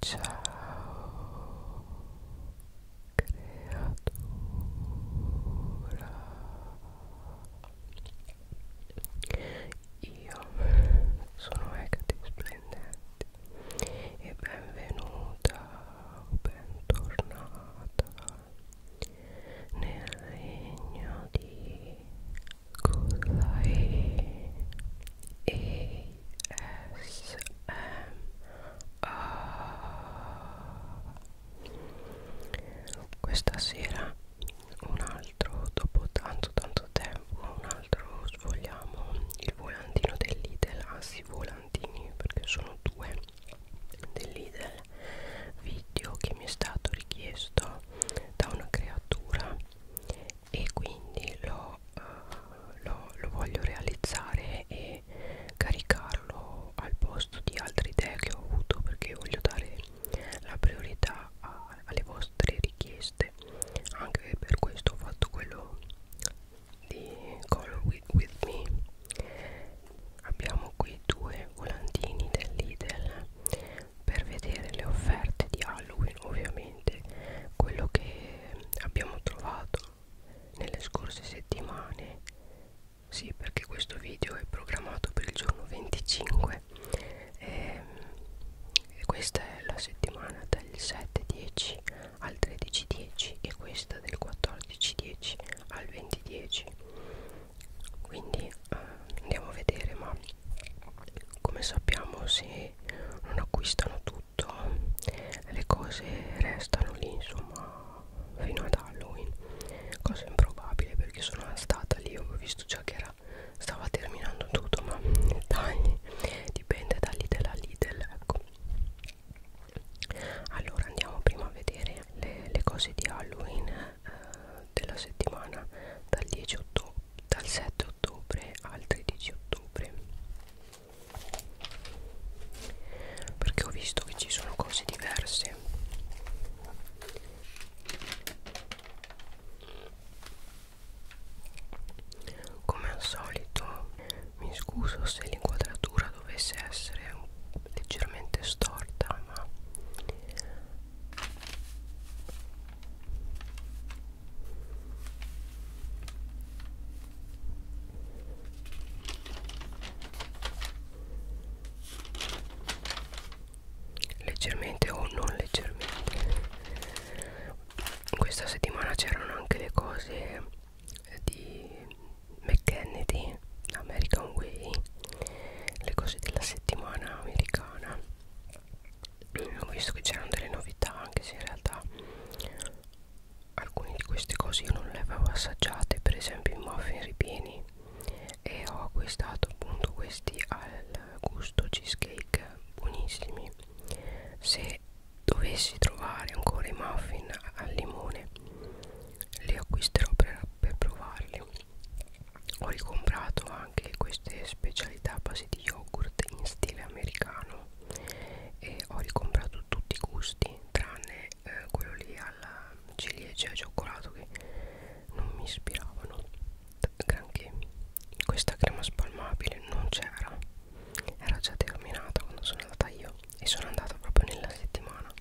Ciao creatura Io sono Hecate Splendente e benvenuta o bentornata nel regno di Kudai e questa sera un altro dopo tanto tanto tempo un altro svogliamo il volantino dell'Idel anzi i volantini perché sono due dell'Idel video che mi è stato richiesto da una creatura e quindi lo, uh, lo, lo voglio realizzare e caricarlo al posto di altre idee che ho avuto perché voglio dare la priorità a, alle vostre richieste anche per questo ho fatto quello di Color With, with Me abbiamo qui due volantini dell'Idel per vedere le offerte di Halloween ovviamente esattamente quello che abbiamo trovato nelle scorse settimane sì perché questo video è programmato per il giorno 25 e, ehm, e questa è la settimana dal 7.10 al 13.10 e questa del 14.10 al 20.10 quindi eh, andiamo a vedere ma come sappiamo se che non acquistano tutto le cose restano lì insomma fino ad Halloween cosa improbabile perché sono stata lì ho visto già che era stava terminando tutto ma dettagli dipende da Lidl a Lidl ecco allora andiamo prima a vedere le, le cose di Halloween eh, della settimana dal, 10 ottobre, dal 7 ottobre al 13 ottobre perché ho visto che ci sono cose diverse come al solito mi scuso se l'inquadratura dovesse essere leggermente storta ma leggermente o non leggermente questa settimana c'erano anche le cose di McKennedy American Way le cose della settimana americana eh, ho visto che c'erano delle novità anche se in realtà alcune di queste cose io non le avevo assaggiate per esempio i muffin ripieni e ho acquistato appunto questi al gusto cheesecake buonissimi se dovessi trovare ancora i muffin al limone li acquisterò per, per provarli ho ricomprato anche queste specialità a base di yogurt in stile americano e ho ricomprato tutti i gusti tranne eh, quello lì alla ciliegia e cioè cioccolato che non mi ispiravano granché questa crema spalmabile non c'era era già terminata quando sono andata io e sono andata proprio nella settimana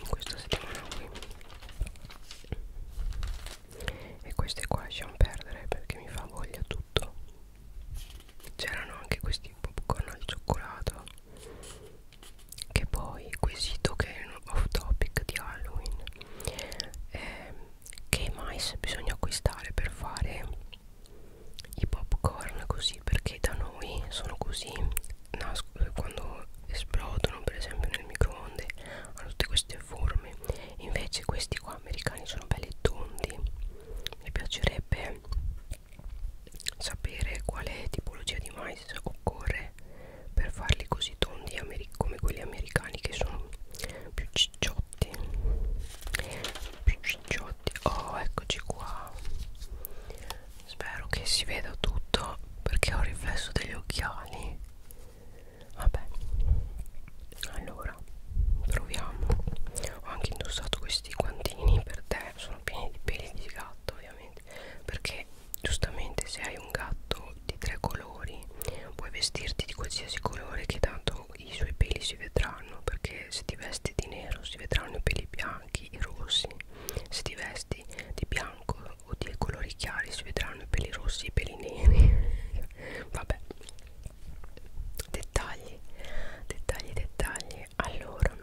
in questa settimana qui e queste qua lasciamo perdere perché mi fa voglia tutto c'erano anche questi popcorn al cioccolato che poi quesito che è un off topic di Halloween eh, che mais bisogna acquistare per fare i popcorn così perché da noi sono così nascono quando esplodono per esempio nel microonde hanno tutte queste forme invece questi qua qua americani sono belli tondi mi piacerebbe sapere quale tipologia di mais occorre per farli così tondi come quelli americani che sono più cicciotti più cicciotti oh eccoci qua spero che si veda tutto perché ho il riflesso degli occhiali vabbè allora proviamo ho anche indossato questi guantini per te sono pieni di peli di gatto ovviamente perché giustamente se hai un gatto di tre colori puoi vestirti di qualsiasi colore che tanto i suoi peli si vedranno perché se ti vesti di nero si vedranno i peli bianchi e rossi se ti vesti di bianco o di colori chiari si vedranno i peli rossi e i peli neri vabbè dettagli dettagli dettagli allora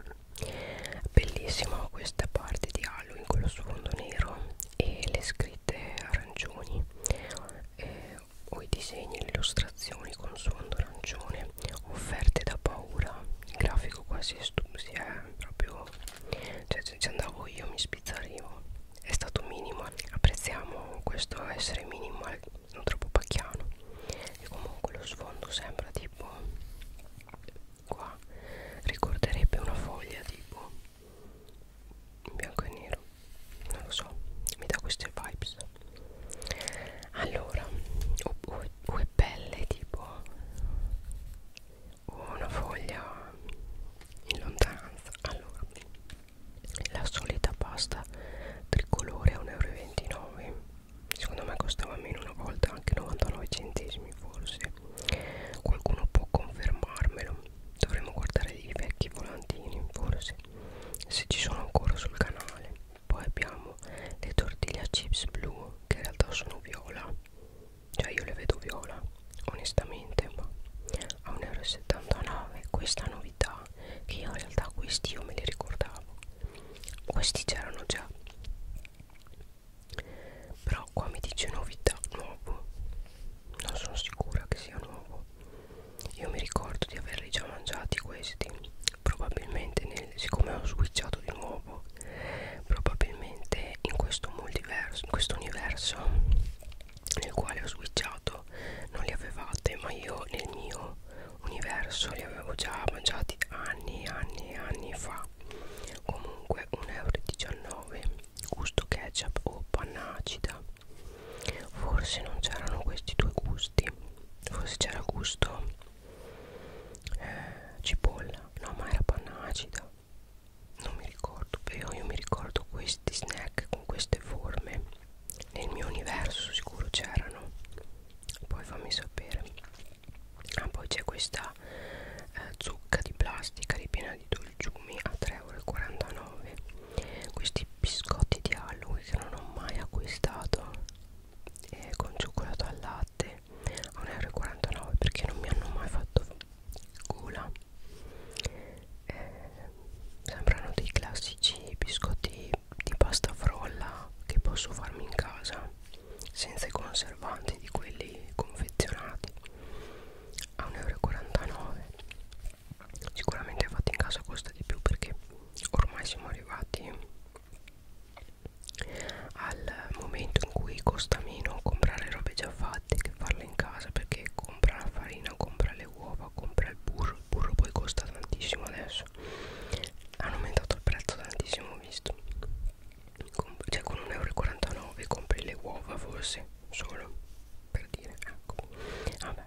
bellissima questa parte di Halloween con lo sfondo nero e le scritte arancioni eh, o i disegni le illustrazioni con sfondo arancione offerte da paura il grafico quasi è, stu si è proprio cioè ci andavo io mi spizzarivo è stato minimal apprezziamo questo essere minimal non troppo pacchiano e comunque lo sfondo sembra tipo qua ricorderebbe una foglia tipo in bianco e nero non lo so mi dà queste vibes allora o, o, o è pelle tipo o una foglia in lontananza allora la solita pasta tricolore a 1,29 euro secondo me costava meno una volta anche 99 centesimi forse qualcuno può confermarmelo dovremmo guardare i vecchi volantini forse se ci sono ancora sul canale poi abbiamo le tortiglia chips blu che in realtà sono viola cioè io le vedo viola onestamente ma a 1,79 euro questa novità realtà che in realtà questi io me li ricordavo questi c'erano già però qua mi dice novità nuovo non sono sicura che sia nuovo io mi ricordo di averli già mangiati questi probabilmente nel, siccome ho switchato di nuovo probabilmente in questo multiverso in questo universo nel quale ho switchato non li avevate ma io nel mio universo li avevo già mangiati anni e anni e anni fa comunque 1,19€ gusto ketchup o panna acida forse non c'erano questi due gusti forse c'era gusto eh, cipolla no ma era panna acida non mi ricordo però io mi ricordo questi snack con queste forme nel mio universo sicuro c'erano poi fammi sapere ah, poi c'è questa eh, zucca di plastica ripiena di dolciumi a 3,49€ questi biscotti di Halloween che non ho mai acquistato eh, con cioccolato al latte a 1,49€ perché non mi hanno mai fatto gola eh, sembrano dei classici biscotti di pasta frolla che posso farmi in casa senza i conservanti di quelli confezionati a 1,49 euro sicuramente fatti in casa costa di più perché ormai siamo arrivati al momento in cui costa meno comprare robe già fatte latte che farla in casa perché compra la farina, compra le uova, compra il burro, il burro poi costa tantissimo adesso, hanno aumentato il prezzo tantissimo ho visto, Com cioè con 1,49 euro compri le uova forse solo per dire, ecco, vabbè,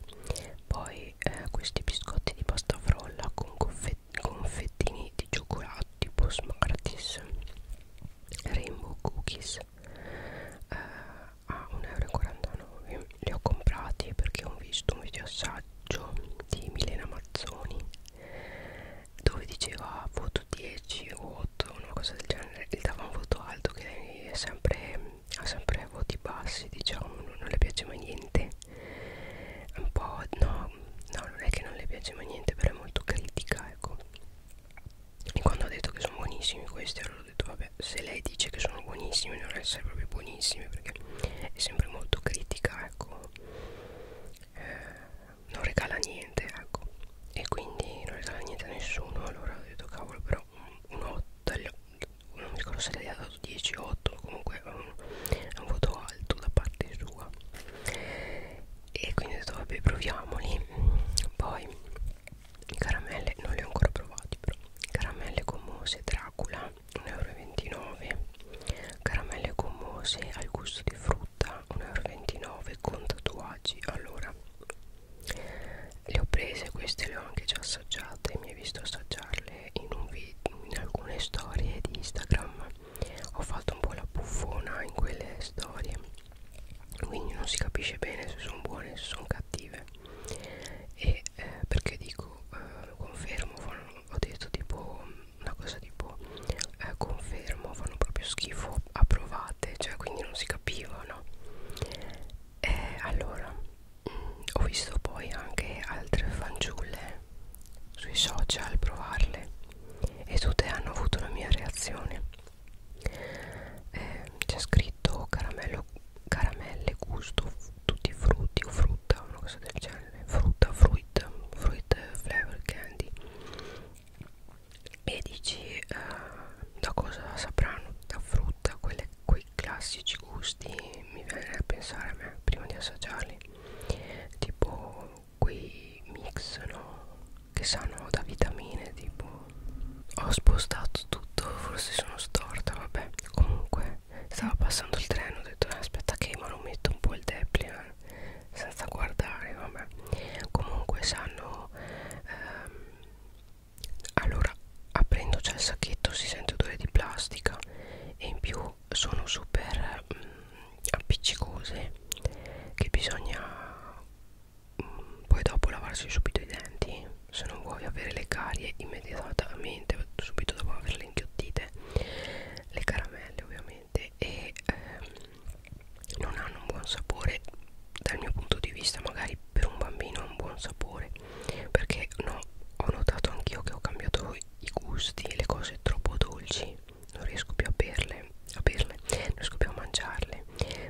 poi eh, questi biscotti di pasta frolla con confetti confettini di cioccolato tipo Smarties Rainbow Cookies eh, a 1,49 euro li ho comprati perché ho visto un video assaggio di Milena Mazzoni dove diceva voto 10 o 8 una cosa del genere gli dava un voto alto che lei è sempre ha sempre voti bassi diciamo non, non le piace mai niente un po' no no non è che non le piace mai niente però è molto critica ecco e quando ha detto che sono buonissimi questi allora ho detto vabbè se lei dice che sono buonissimi devono essere proprio buonissimi perché è sempre molto critica ecco eh, non regala niente ecco e quindi non regala niente a nessuno allora ho detto cavolo però un, un 8 non mi ricordo se lei ha dato 10 8 comunque è un, un voto alto da parte sua e quindi ho detto vabbè proviamoli poi caramelle non le ho ancora provate però caramelle gommose Dracula 1,29 euro caramelle gommose al gusto di frutta 1,29 euro con tatuaggi allora le ho prese queste le ho anche già assaggiate mi hai visto assaggiarle in, un in alcune storie di Instagram ho fatto un po' la buffona in quelle storie quindi non si capisce bene se sono buone o se sono cattive e eh, perché dico eh, lo confermo fanno, ho detto tipo una cosa tipo eh, confermo fanno proprio schifo approvate cioè quindi non si capiva no eh, allora mh, mm, ho visto poi anche altre fanciulle sui social provarle e tutte hanno avuto la mia reazione eh, c'è scritto caramello, caramelle gusto tutti i frutti o frutta una cosa del genere frutta fruit fruit flavor candy e dici eh, da cosa sapranno da frutta quelle, quei classici gusti mi viene a pensare a me prima di assaggiarli tipo quei mix no che sanno da vitamine tipo ho spostato tutto forse sono storta vabbè comunque stava passando il treno ho detto eh, aspetta che ma lo metto un po' il deplian eh, senza guardare vabbè comunque sanno ehm, allora aprendo c'è il sacchetto si sente odore di plastica e in più sono super mh, mm, appiccicose che bisogna poi dopo lavarsi subito i denti se non vuoi avere le carie immediatamente subito dopo averle inghiottite le caramelle ovviamente e ehm, non hanno un buon sapore dal mio punto di vista magari per un bambino ha un buon sapore perché no ho notato anch'io che ho cambiato i gusti le cose troppo dolci non riesco più a berle a berle non riesco più a mangiarle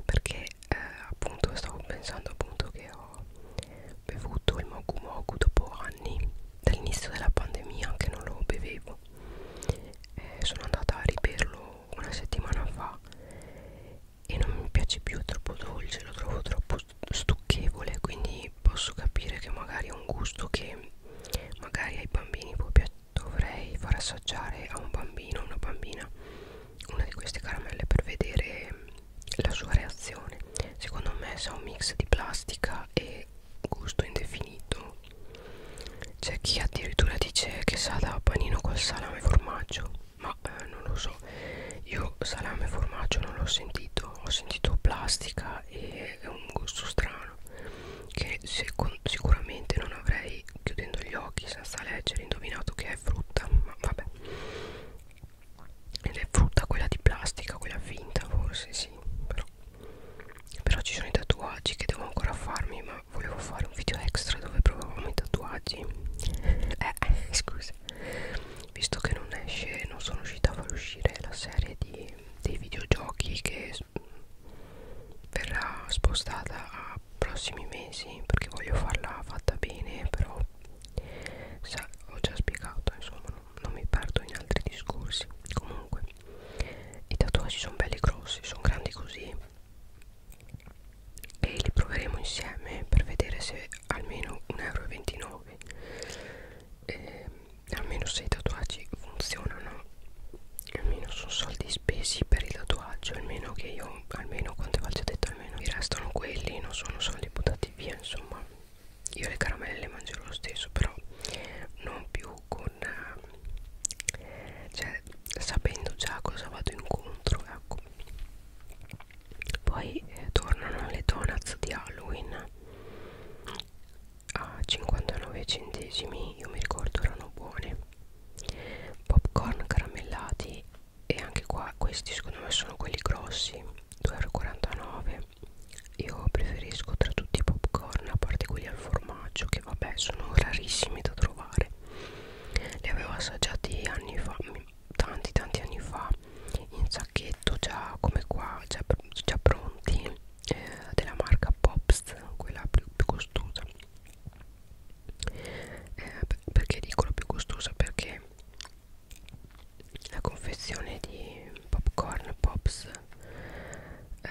perché eh, appunto stavo pensando appunto che ho bevuto il Mogu Mogu dopo anni dall'inizio della pandemia anche non lo bevevo eh, sono andata a riberlo una settimana fa e non mi piace più è troppo dolce lo trovo troppo stucchevole quindi posso capire che magari è un gusto che magari ai bambini dovrei far assaggiare a un bambino o una bambina una di queste caramelle per vedere la sua reazione secondo me sa un mix di plastica e gusto indefinito c'è chi addirittura dice che sa da panino col salame e formaggio ma eh, non lo so io salame e formaggio non l'ho sentito ho sentito plastica e un gusto strano che sicuramente non avrei chiudendo gli occhi senza leggere indovinato che è frutta ma vabbè ed è frutta quella di plastica quella finta forse sì però però ci sono i tatuaggi che devo ancora farmi ma volevo fare un video extra dove provavamo i tatuaggi eh scusa visto che non esce non sono riuscita a far uscire la serie di, dei videogiochi che verrà spostata a prossimi mesi perché voglio farla fatta bene però sa, ho già spiegato insomma non, non mi perdo in altri discorsi comunque i tatuaggi sono belli grossi sono grandi così e li proveremo insieme per vedere se almeno 1,29 euro e ehm, almeno se i tatuaggi funzionano almeno sono soldi spesi per il tatuaggio almeno che io almeno quante volte ho detto almeno mi restano quelli non sono soldi buttati via insomma io le caramelle le mangerò lo stesso però non più con eh, cioè sapendo già cosa vado incontro ecco poi eh, tornano le donuts di Halloween a 59 centesimi io mi ricordo erano buone popcorn caramellati e anche qua questi secondo me sono quelli grossi 2,49 io preferisco tra tutti i popcorn a parte quelli al formaggio che vabbè sono rarissimi da trovare li avevo assaggiati anni fa mm, tanti tanti anni fa in sacchetto già come qua già, già pronti eh, della marca Pops quella più, più costosa eh, perché dico la più costosa perché la confezione di popcorn pops eh,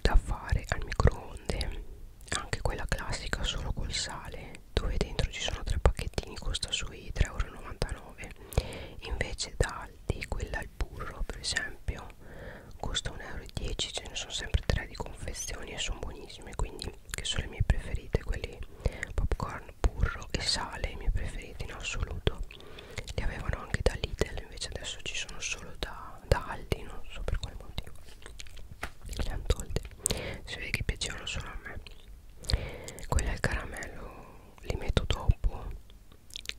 da fare al microonde anche quella classica solo col sale dove dentro ci sono tre pacchettini costa sui 3,99 euro invece da Aldi quella al burro per esempio costa 1,10 euro ce ne sono sempre tre di confezioni e sono buonissime quindi che sono le mie preferite quelli popcorn burro e sale i miei preferiti in assoluto li avevano anche da Lidl invece adesso ci sono solo da, da Aldi non so per quale motivo le hanno tolte si vede che piacevano solo a me quelli al caramello li metto dopo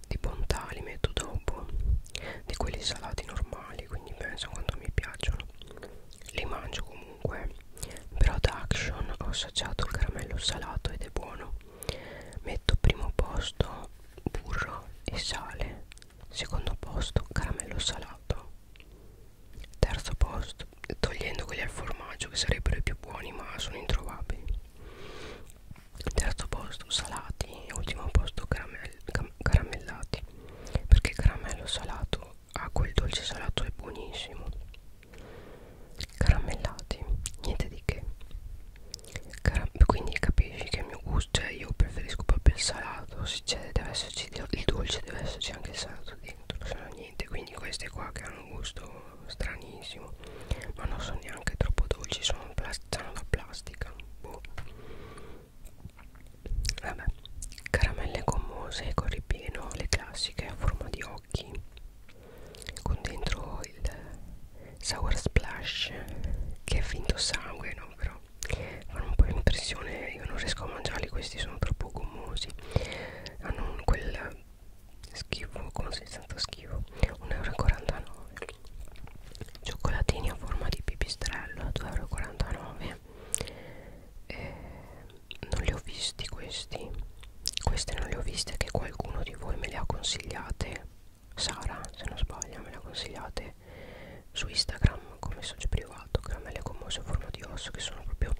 di bontà li metto dopo di quelli salati normali quindi penso quando mi piacciono li mangio comunque però da action ho assaggiato il caramello salato ed è buono metto primo posto burro e sale secondo posto caramello salato terzo posto togliendo quelli al formaggio che sarebbero i più buoni ma sono introvabili terzo posto salati e ultimo posto caramello caramellati perché il caramello salato a quel dolce salato è buonissimo caramellati niente di che Caram quindi capisci che il mio gusto cioè io preferisco proprio il salato se c'è cioè deve esserci il dolce deve esserci anche il salato dentro se no niente quindi queste qua che hanno un gusto stranissimo ma non sono neanche troppo dolci sono, sono da plastica boh Vabbè, caramelle gommose con ripieno, le classiche a forma di occhi, con dentro il sour splash che è finto sangue, no? Però fanno un po' impressione, io non riesco a mangiarli, questi sono troppo gommosi, hanno quel schifo, consistenza schifo, 1,49 euro cioccolatini a forma di pipistrello a 2,49 eh, non li ho visti questi questi non li ho visti che qualcuno di voi me li ha consigliate Sara se non sbaglio me le ha consigliate su Instagram come messaggio privato caramelle commosse a forma di osso che sono proprio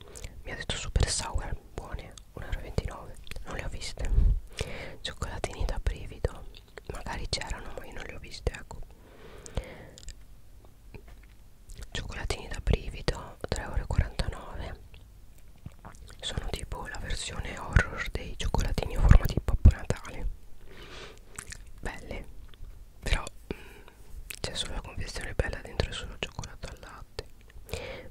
mi ha detto super sour buone 1,29 non le ho viste cioccolatini da brivido magari c'erano ma io non le ho viste ecco cioccolatini da brivido 3,49€ sono tipo la versione horror dei cioccolatini a forma di pappo natale belle però mm, c'è solo la confezione bella dentro e solo cioccolato al latte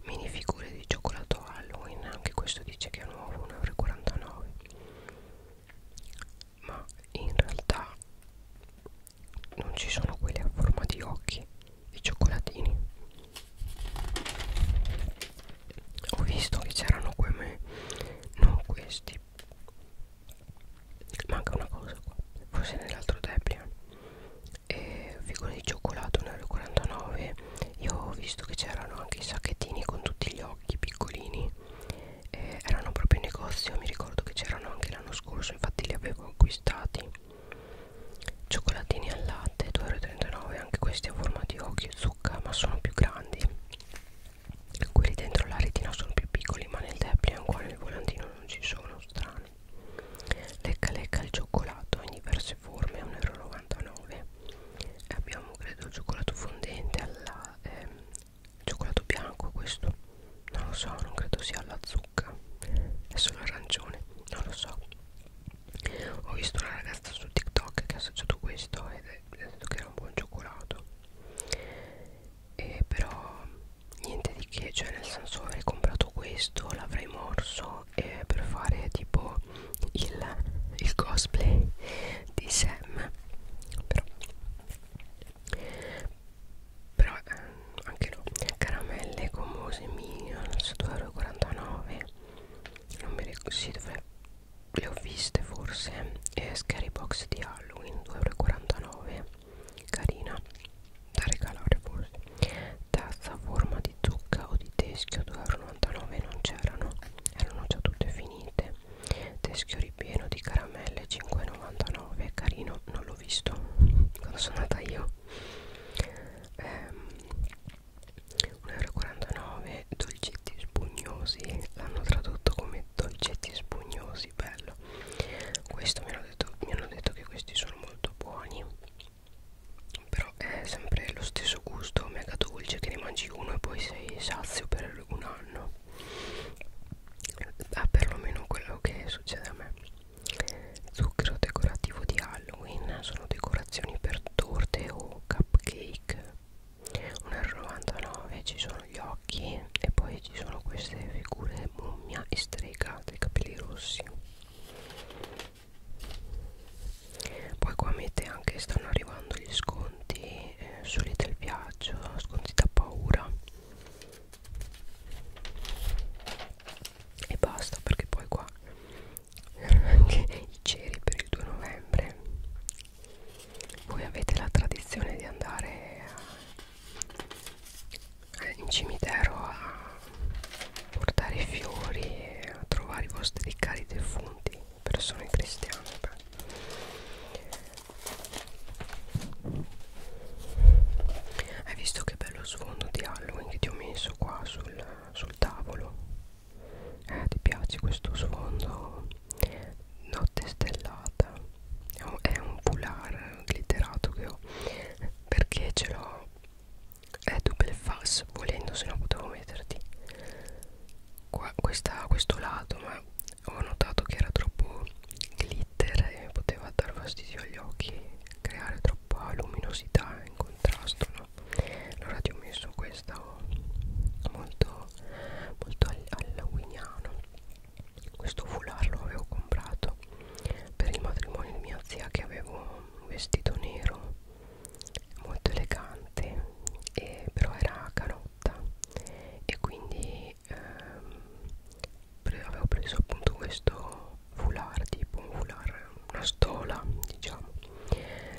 mini figure di cioccolato Halloween anche questo dice che è nuovo 1,49€ ma in realtà non ci sono quelli a forma di occhi i cioccolatini ho visto che c'erano come non questi manca una cosa qua forse nell'altro Debian e figure di cioccolato 1,49 io ho visto che c'erano anche i sacchettini con tutti gli occhi piccolini eh, erano proprio in negozio mi ricordo che c'erano anche l'anno scorso infatti li avevo acquistati cioccolatini al latte 2,39€ anche questi a forma di occhio e zucca ma sono più grandi quelli dentro la retina sono più piccoli ma nel depliant qua nel volantino non ci sono strani lecca lecca il cioccolato in diverse forme 1,99€ e abbiamo credo il cioccolato fondente alla, ehm, cioccolato bianco questo non lo so non credo sia alla zucca è solo arancione non lo so ho visto una ragazza su tiktok che ha assaggiato questo ed è, è detto che era un buon cioccolato e però niente di che cioè nel senso avrei comprato questo l'avrei morso eh, per fare tipo il, il cosplay di Sam però però ehm, anche no caramelle gommose minions 2,49 non mi ricordo sì, dove le ho viste forse e scary box di halloween 2,49 carina da regalare forse tazza a forma di zucca o di teschio 2,99 non c'erano erano già tutte finite teschio ripieno di caramelle 5,99 carino non l'ho visto quando sono andata io ehm, 1,49 dolcetti spugnosi l'hanno tradotto come dolcetti spugnosi bello questo mi hanno detto, mi hanno detto che questi sono molto buoni però è sempre lo stesso gusto mega dolce che ne mangi uno e poi sei sazio per un anno ah, perlomeno quello che succede a me zucchero decorativo di Halloween sono decorazioni per torte o cupcake 1,99 ci sono gli occhi e poi ci sono queste figure mummia e strega dei capelli rossi poi qua mette anche stanno arrivando gli sconti e eh, soli del viaggio, nascondita paura e basta perché poi qua anche i ceri per il 2 novembre voi avete la tradizione di andare a, eh, in cimitero a portare i fiori e a trovare i vostri cari defunti persone cristiane beh. hai visto che bello sfondo di Halloween che ti ho messo qua sul, sul tavolo eh, ti piace questo sfondo notte stellata è un foulard glitterato che ho perché ce l'ho è double fast volendo se no potevo metterti qua, questa, questo lato ma ho notato che era troppo glitter e poteva dar fastidio agli occhi creare troppa luminosità in contrasto no? allora ti ho messo questa oh, molto molto halloweeniano questo foulard lo avevo comprato per il matrimonio di mia zia che avevo un vestito nero molto elegante e però era a canotta e quindi ehm, pre avevo preso appunto questo foulard tipo un foulard una stola diciamo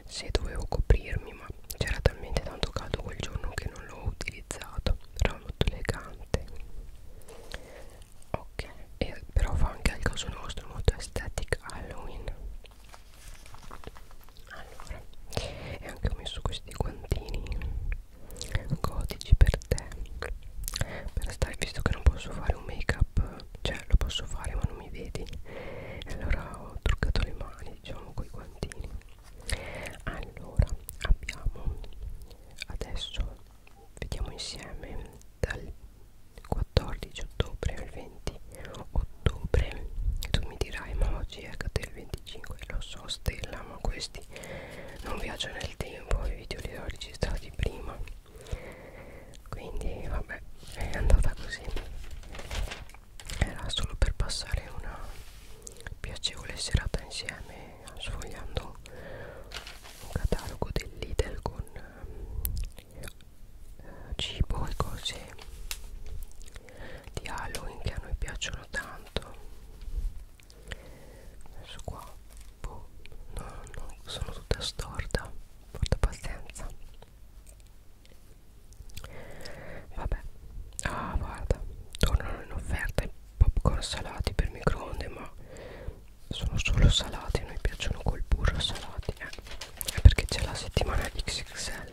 se dovevo coprirmi ma c'era talmente tanto caldo quel giorno che non l'ho utilizzato era molto elegante ok e però fa anche al caso nostro molto estetica Halloween allora e anche ho messo questi guantini gotici per te per stare visto che non posso fare un make up cioè lo posso fare ma non mi vedi e allora ho truccato le mani diciamo con i guantini allora abbiamo adesso vediamo insieme dal 14 ottobre al 20 ottobre ottobre tu mi dirai ma oggi è il 25 lo so stella ma questi non viaggiano nel tempo i video li ho registrati prima quindi vabbè è andata così era solo per passare una piacevole serata insieme sfogliando un catalogo del Lidl con eh, cibo e cose di Halloween che a noi piacciono piacciono tanto adesso qua boh, no, no, sono tutta storta porta pazienza vabbè ah guarda tornano in offerta i popcorn salati per microonde ma sono solo salati a noi piacciono col burro salati eh, è perché c'è la settimana XXL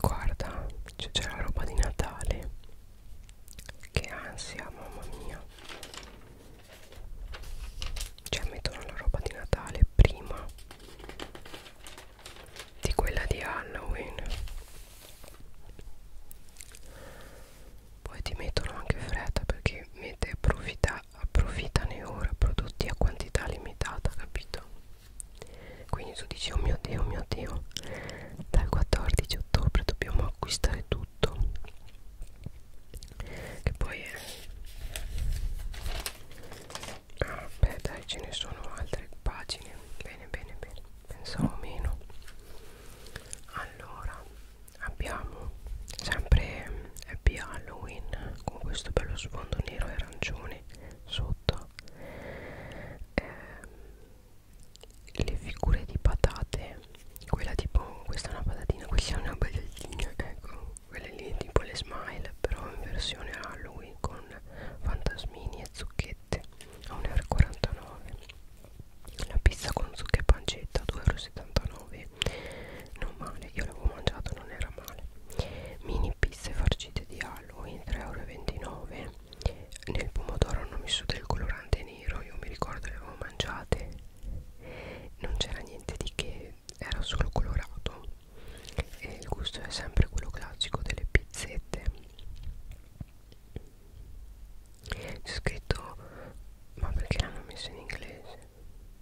Guarda, c'è la roba di Natale che ansia, mamma mia. Cioè mettono la roba di Natale prima di quella di Halloween. Poi ti mettono anche fretta perché mette approfitta, approfittane ora prodotti a quantità limitata, capito? quindi tu dici oh mio dio oh mio dio dal 14 ottobre dobbiamo acquistare tutto che poi è ah beh dai ce ne sono altre pagine bene bene bene pensavo meno allora abbiamo sempre eh, Happy Halloween con questo bello sfondo nero e arancione sotto eh, le figure di patate quella tipo questa è una patatina questa è una bagliettina ecco quelle lì tipo le smile però in versione Halloween con fantasmini e zucchette a 1,49€ la pizza con zucca e pancetta 2,79€ non male io l'avevo mangiato non era male mini pizze farcite di Halloween 3,29€ nel pomodoro hanno messo del colorante nero io mi ricordo le avevo mangiate non c'era niente di che era solo colorato e il gusto è sempre quello classico delle pizzette c'è scritto ma perché l'hanno messo in inglese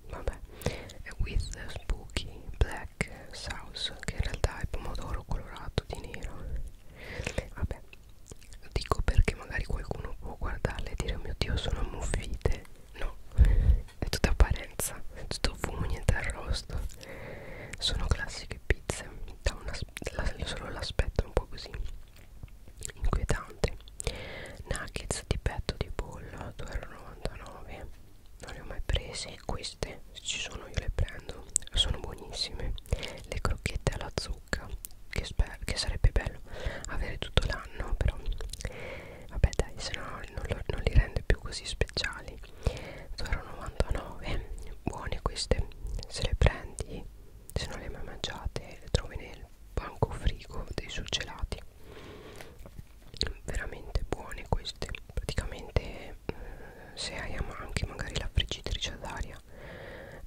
vabbè with spooky black sauce che in realtà è pomodoro colorato di nero vabbè lo dico perché magari qualcuno può guardarle e dire oh mio dio sono ammuffite no è tutta apparenza tutto fumo niente arrosto sono classiche pizze da una, la, solo l'aspetto un po' così inquietante nuggets di petto di pollo 2,99 non le ho mai prese queste se ci sono io le prendo sono buonissime le crocchette alla zucca che, che sarebbe bello avere tutto l'anno però vabbè dai se no non, non li rende più così speciali 0,99 buone queste se le prendi se non le hai mai mangiate le trovi nel banco frigo dei surgelati veramente buone queste praticamente eh, se hai anche magari la friggitrice ad aria storia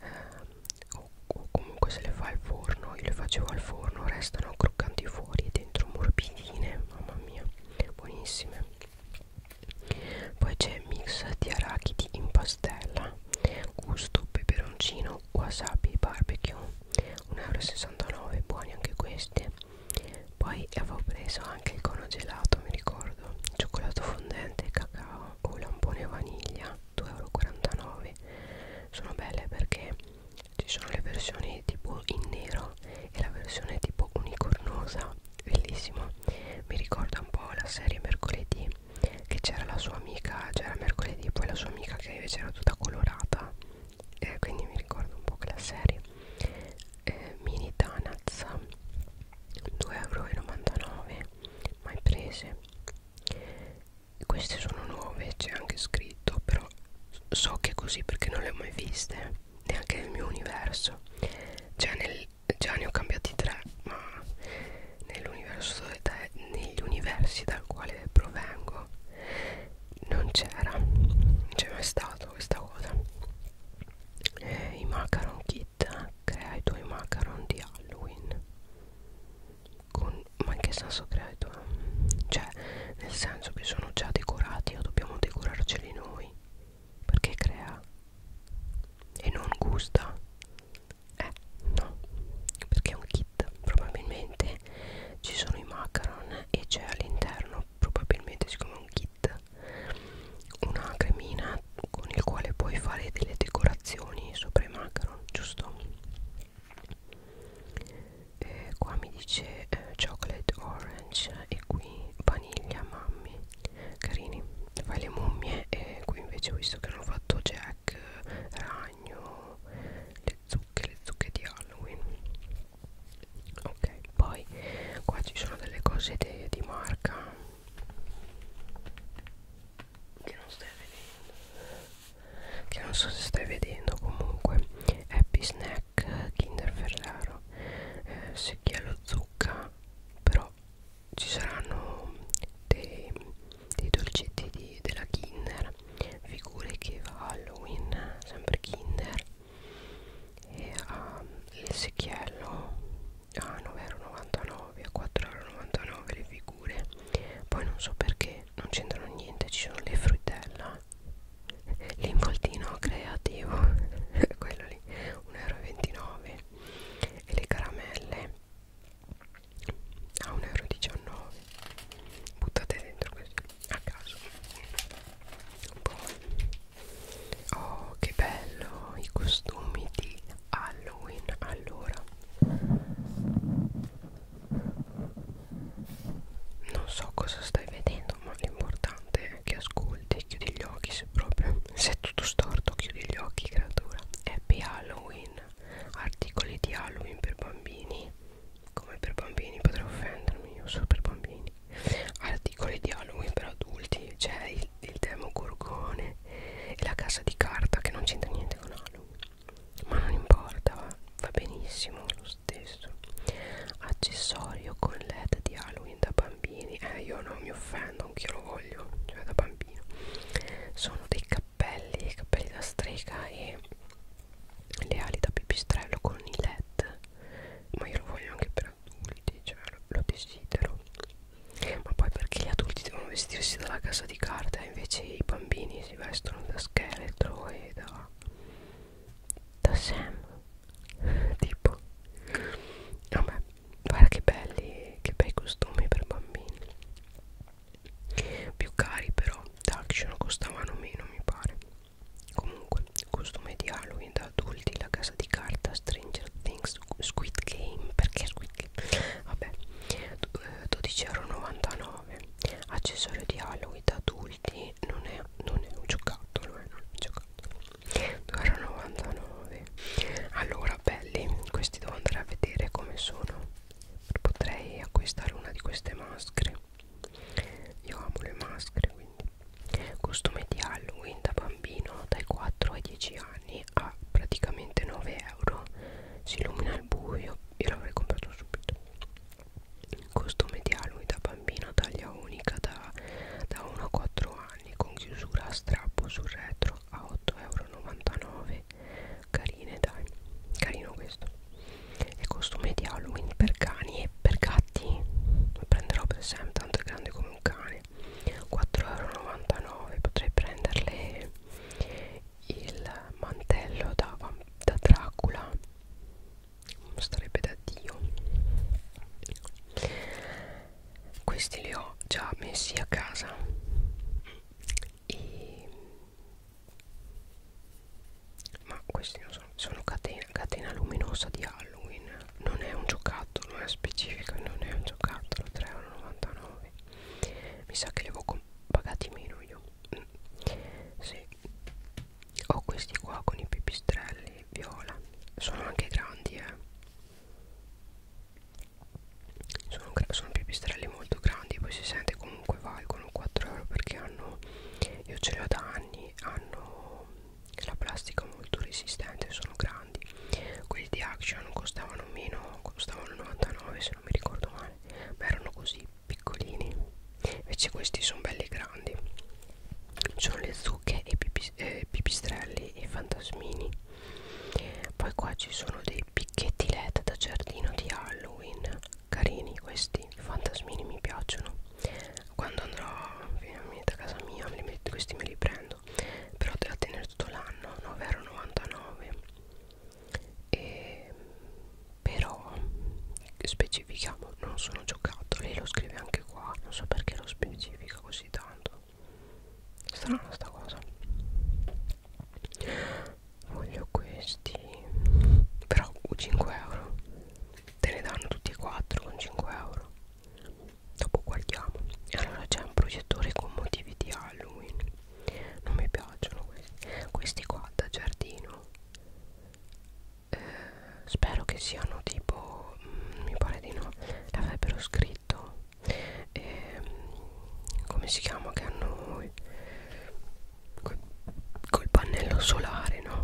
eh, o, o comunque se le fa al forno io le facevo al forno restano croccanti fuori dentro morbidine mamma mia buonissime poi c'è mix di arachidi in pastella gusto peperoncino wasabi barbecue 1,69 euro buoni anche questi poi avevo preso anche il cono gelato mi ricordo cioccolato fondente e cacao fresca o lampone vaniglia 2,49 euro sono belle perché ci sono le versioni tipo in nero e la versione tipo unicornosa bellissimo mi ricorda un po' la serie mercoledì che c'era la sua amica c'era mercoledì poi la sua amica che invece era tutta colorata eh, quindi mi ricordo un po' quella serie eh, mini donuts 2,99€ mai prese queste sono nuove c'è anche scritto però so che è così perché non le ho mai viste neanche nel mio universo già, nel, già ne ho cambiati tre ma nell'universo negli universi dal quale provengo non c'era non c'è mai stato questa cosa eh, i macaron kit It crea i tuoi macaron di Halloween Con, ma in che senso crea i tuoi? cioè nel senso che sono già decorati o dobbiamo decorarceli noi perché crea e non gusta eh no perché è un kit probabilmente ci sono i macaron e c'è all'interno probabilmente siccome è un kit kit una cremina con il quale puoi fare delle decorazioni sopra i macaron giusto e qua mi dice eh, chocolate orange e qui vaniglia mammi carini fai le mummie e qui invece ho visto che hanno fatto jack eh, ragno le zucche le zucche di halloween ok poi qua ci sono delle cose de, di marca che non stai vedendo che non so se stai vedendo comunque happy snack kinder ferraro eh, secchiello zucca però ci saranno dei, dei dolcetti di, della kinder figure che va halloween sempre kinder e ehm, a l'esecchiello a 9,99€ a 4,99€ le figure poi non so perché non c'entrano niente ci sono le fruttella l'involtino creativo quello lì 1,29€ e le caramelle a 1,19€ buttate dentro così a caso poi Oh, che bello i costumi di Halloween. Allora, non so cosa stai vedendo, ma l'importante è che ascolti e chiudi gli occhi. Se proprio se è tutto storto, chiudi gli occhi, creatura. Happy Halloween. Articoli di Halloween per bambini. Come per bambini potrei offendermi, io sono per bambini. Articoli di Halloween per adulti, cioè il il, il demo gorgone e la casa di carta che non c'entra niente con Halloween ma non importa va, va benissimo lo stesso accessorio con led di Halloween da bambini eh io non mi offendo anch'io lo voglio cioè da bambino sono dei cappelli cappelli da strega e le ali da pipistrello con i led ma io lo voglio anche per per adulti cioè lo, lo desidero ma poi perché gli adulti devono vestirsi dalla casa di carta e invece i bambini si vestono da scheletro e da da Sam tipo vabbè guarda che belli che bei costumi per bambini più cari però da action costavano meno mi pare comunque costume di Halloween da adulti la casa di carta Stranger Things Squid Game perché Squid Game? Vabbè, 12,99€ eh, accessorio di Halloween da adulti, non è, non è un giocattolo, eh, non è un giocattolo. 2,99€ allora belli questi devo andare a vedere come sono potrei acquistare una di queste maschere io amo le maschere quindi costume di Halloween da bambino dai 4 ai 10 anni a praticamente 9 euro si illumina al buio io l'avrei comprato subito costume di Halloween da bambino taglia unica da, da 1 a 4 anni con chiusura a strappo sul retro a 8,99 euro carine dai carino questo e costume di Halloween per cani e per gatti lo prenderò per sempre tanto è grande come un cane 4,99€ potrei prenderle il mantello da, da Dracula sarebbe da Dio questi li ho già messi a casa e ma questi non sono, sono catena, catena luminosa di Halloween non è un giocattolo è specifico non è un giocattolo 3,99 mi sa che li avevo pagati meno io mm. sì. ho questi qua con i pipistrelli viola sono anche grandi eh sono, sono pipistrelli molto grandi poi si sente comunque valgono 4 euro perché hanno io ce li ho da anni hanno la plastica molto resistente sono grandi grandi quelli di action costavano meno costavano 99 se non mi ricordo male ma erano così piccolini invece questi sono belli grandi sono le zucche e pipis eh, pipistrelli e fantasmini poi qua ci sono dei picchetti led da giardino di halloween carini questi fantasmini mi piacciono quando andrò a casa mia me li metto, questi me li prendo pagando però te la tenere tutto l'anno 9,99 e però specifichiamo non sono giocattoli lo scrive anche qua non so perché lo specifica così tanto strana sta cosa voglio questi però 5 euro te ne danno tutti e quattro con 5 euro dopo guardiamo allora c'è un proiettore con motivi di Halloween non mi piacciono questi questi qua da giardino eh, spero che siano tipo mh, mm, mi pare di no l'avrebbero scritto eh, come si chiama che hanno col, col pannello solare no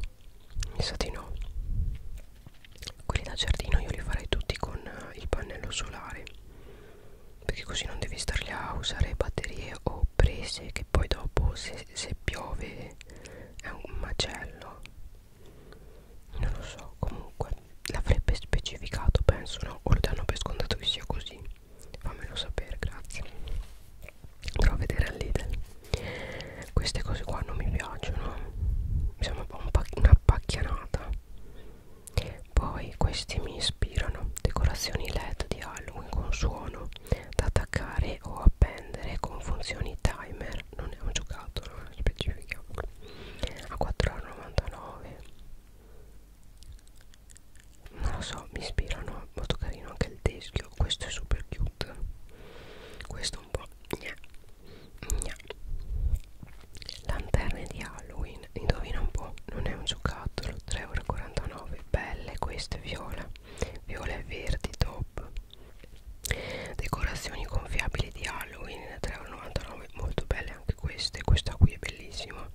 mi sa di no quelli da giardino io li farei tutti con eh, il pannello solare perché così non devi starli a usare batterie o prese che poi dopo se, se piove è un macello non lo so comunque l'avrebbe specificato penso no o lo danno per scontato che sia così fammelo sapere grazie andrò a vedere al Lidl queste cose qua non mi piacciono mi sembra un una pacchianata poi questi mi ispirano decorazioni led di halloween con suono da attaccare o appendere con funzioni timer non è un giocattolo no? specifichiamo a 4,99 non lo so mi ispirano molto carino anche il teschio questo è super cute questo un po' yeah. Gna. Lanterne di Halloween, indovina un po', non è un giocattolo, 3,49€, belle queste viola, viola e verdi top. Decorazioni gonfiabili di Halloween, 3,99€, molto belle anche queste, questa qui è bellissima.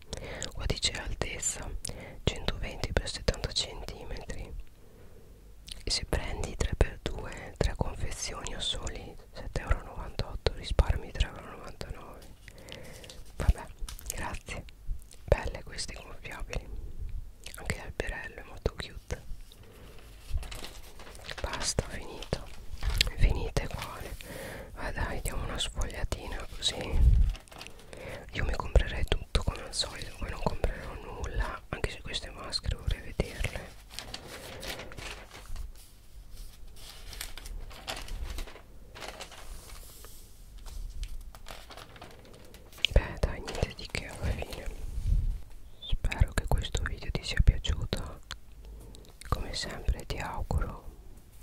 Qua dice altezza, 120 x 70 cm, e se prendi 3x2 3 confezioni o soli 7,98€ risparmi 3,99€ vabbè grazie belle queste gonfiabili anche l'alberello è molto cute basta finito finite qua va dai diamo una sfogliatina così io mi comprerei tutto come al solito poi non comprerò nulla anche se queste maschere vorrei vederle Beh dai niente di che alla fine Spero che questo video ti sia piaciuto Come sempre ti auguro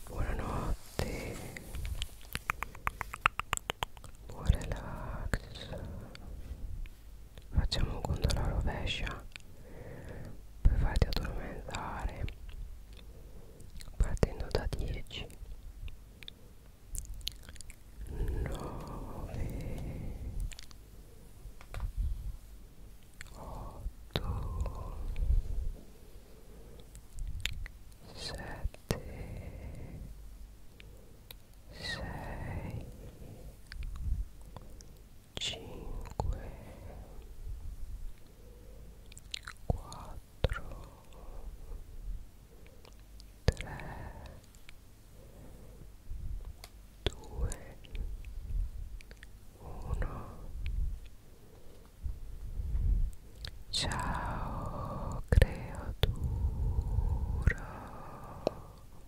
Buonanotte Buon relax facciamo un conto alla rovescia per farti addormentare partendo da 10 9 8 7 6 5 4 3 2 1 cinque quattro tre due uno ciao creatura